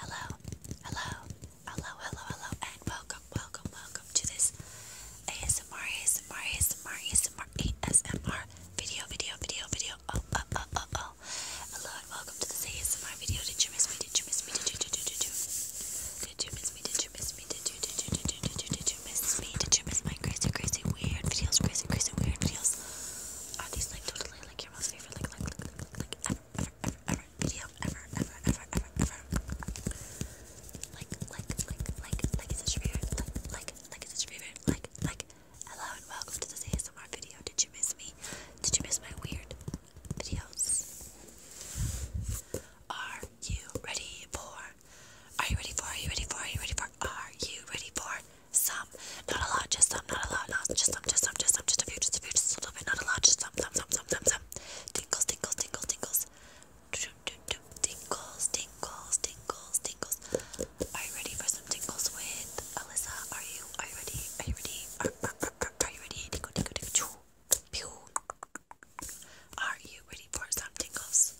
Hello, hello, hello, hello, hello, and welcome, welcome, welcome to this ASMR, ASMR, ASMR, ASMR, ASMR video, video, video, video. Oh, oh, oh, oh, oh. Hello and welcome to this ASMR video. Did you miss me? Did you miss me? did you, did you, did you? Did you miss me? Did you miss me? Did you, did you, did you, did you, did you? Did you miss me? Did you miss my crazy, crazy, weird videos? Crazy, crazy, weird videos. Are these like totally like your most favorite, like, like, like, like, like ever, ever, ever, ever ever, Like, like, like, like, like it's such favorite. Like, like, like it's such favorite. Like, like, hello and welcome to this ASMR video. Did you miss me? Did you miss my weird videos? Are you ready for? Are you ready for? Are you ready for? Are you ready for? are you ready for? Some. Not a lot, just some, not a lot, not just some, just some, just some, just a few, just a few, just a little bit, not a lot, just some, some, some, some, some, some. Tinkles, tinkles, tinkles, tinkles. Tinkles, tinkles, tinkles, tinkles. Are you ready for some tinkles with Alyssa? Are you are you ready? Are you ready? Are, are, are, are, are you ready? Tinkle, tinkle, tinkle, choo. Pew. Are you ready for some tinkles?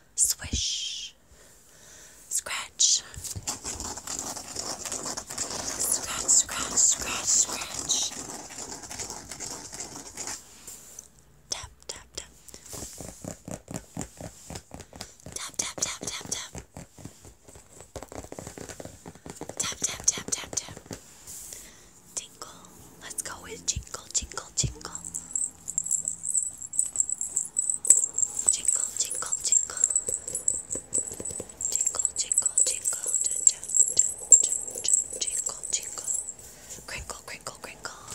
Swish. Scratch. Scratch, scratch, scratch, scratch. Tap, tap, tap. Tap, tap, tap, tap, tap. Tap, tap, tap, jingle. Let's go with jingle, jingle, jingle. Jingle, jingle, jingle. Jingle, jingle, jingle. Jingle, jingle. Crinkle, crinkle, crinkle. Jingle,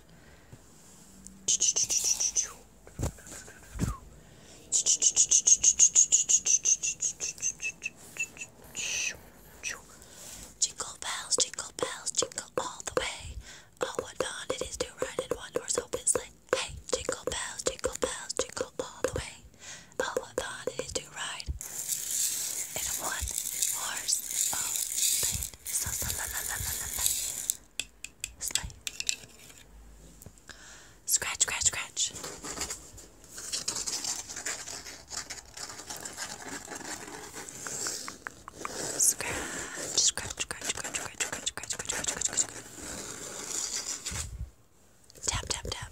brush. Jingle bells, jingle bells, jingle all the way. Oh, what fun it is to ride in one horse open sleigh. Hey, jingle bells, jingle bells, jingle all the way. Oh, what fun it is to ride in a one horse open sleigh sa sa la la la la la la Slay Scratch, scratch, scratch Scratch, scratch, scratch, scratch, scratch, scratch, scratch, scratch, scratch, scratch, scratch. Tap, tap, tap.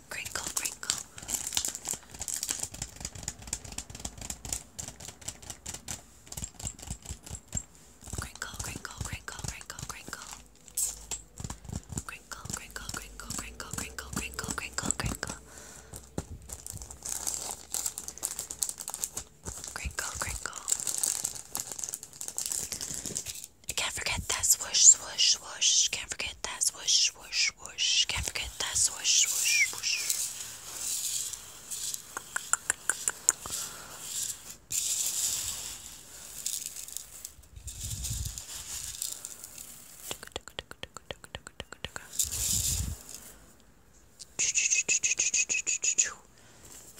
some crinkle, crinkle. Crinkle, crinkle, crinkle, crinkle, crinkle. Crinkle, crinkle, crinkle, crinkle, crinkle, crinkle, crinkle, crinkle. Crinkle, crinkle. Can't forget that swoosh, swoosh, swoosh. Can't forget that swoosh, swoosh, swoosh. Can't forget that swoosh, swoosh, swoosh.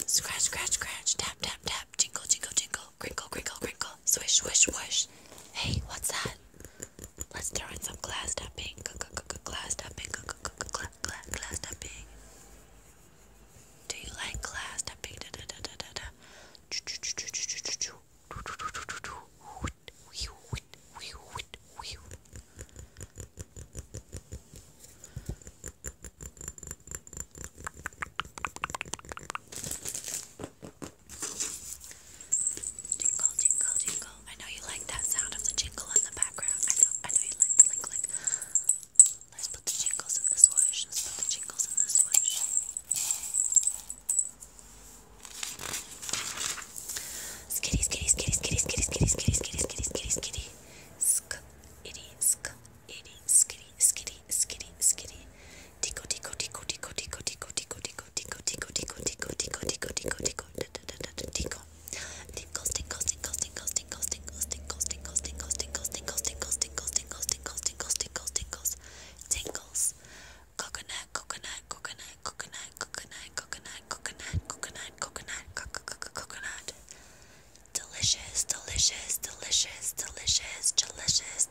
Scratch, scratch, scratch. Tap, tap, tap. Jingle, jingle, jingle crinkle, crinkle, crinkle, swish, swish, swish. Hey, what's that? Let's throw in some glass tapping, glass tapping, glass tapping. Do glass tapping? Da da da da da da. Jingle, jingle, jingle. I know you like that sound of the jingle in the background. I know, I know you like, like, like. Let's put the jingles in the swoosh. Let's put the jingles in the swoosh. Skitty, skitty, skitty, skitty, skitty, skitty, skitty, skitty, skitty, skitty, skitty. Sk, itty, sk, itty, skitty, skitty, skitty, skitty tickle, tickle, tickle, tickle, tickle, tickle, tickle, tickle, tickle, tickle, tickle, tickle, tickle, tickle, tickle, tickle, tickle, tickles, tickles, tickles, tickles, tickles, tickles, tickles, tickles, tickles, tickles, tickles, tickles, tickles, tickles, tickles, tickles, tickles, tickles, tickles, coconut, coconut, coconut, coconut, coconut, coconut, coconut, coconut, coconut, coconut, coconut, delicious, delicious, delicious, delicious, delicious,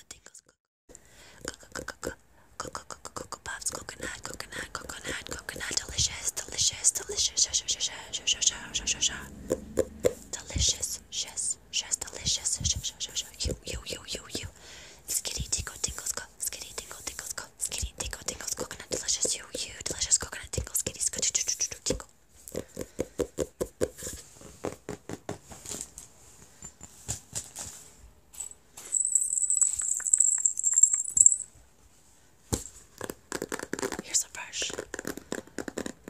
the tingles. Cocoa pops, coconut, coconut, coconut, coconut, delicious, delicious, delicious, delicious, yes, yes, delicious, you, you, you, you, you, skitty tinkle tingles, go, skitty tingle tingles, go, skitty tingle tingles, coconut, delicious, you, you, delicious, coconut, tingles, skitty, skitty, tingle. Here's a brush.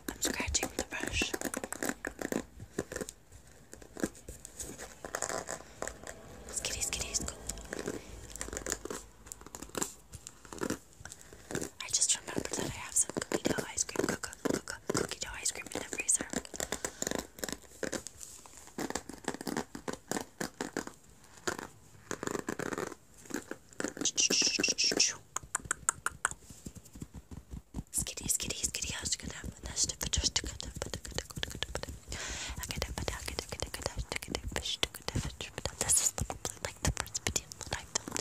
I'm scratching the brush. Skitty, skitty, scoop. I just remembered that I have some cookie dough ice cream, cook, cook, cookie dough ice cream in the freezer. Skitty, skitty, skitty, how's it gonna nest if it just took it? This is like the first video that I filmed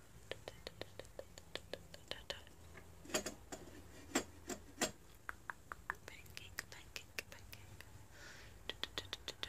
Pancake, pancake, pancake. Do, do, do, do, do.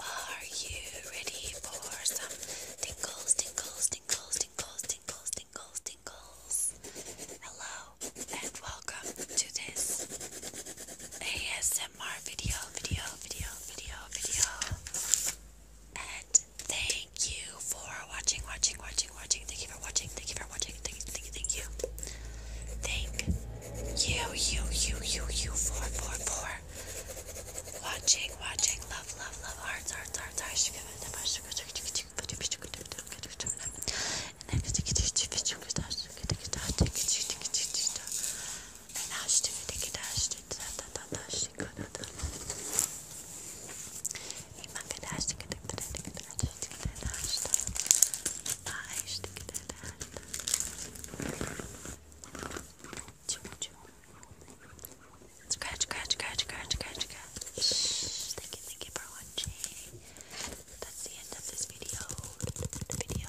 Are you ready for some tingles, tingles, tingles, tingles, tingles, tingles, tingles? Hello and welcome to this ASMR video, video, video, video, video. And thank you for watching, watching, watching, watching. Thank you for watching. Thank you for watching. Thank you, thank you, thank you. Thank you, you, you, you, you for, for, for Watching, watching, love, love, love, hearts, hearts, hearts, hearts. Thank you. Too Scratch, scratch, scratch, scratch, scratch, scratch. Thank you, thank you for watching. That's the end of this video. Video.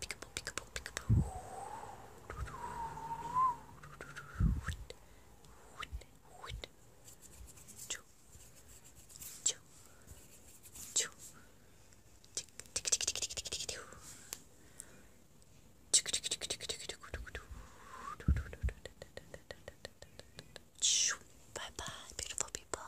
Peekaboo, peekaboo, Bye bye, beautiful people.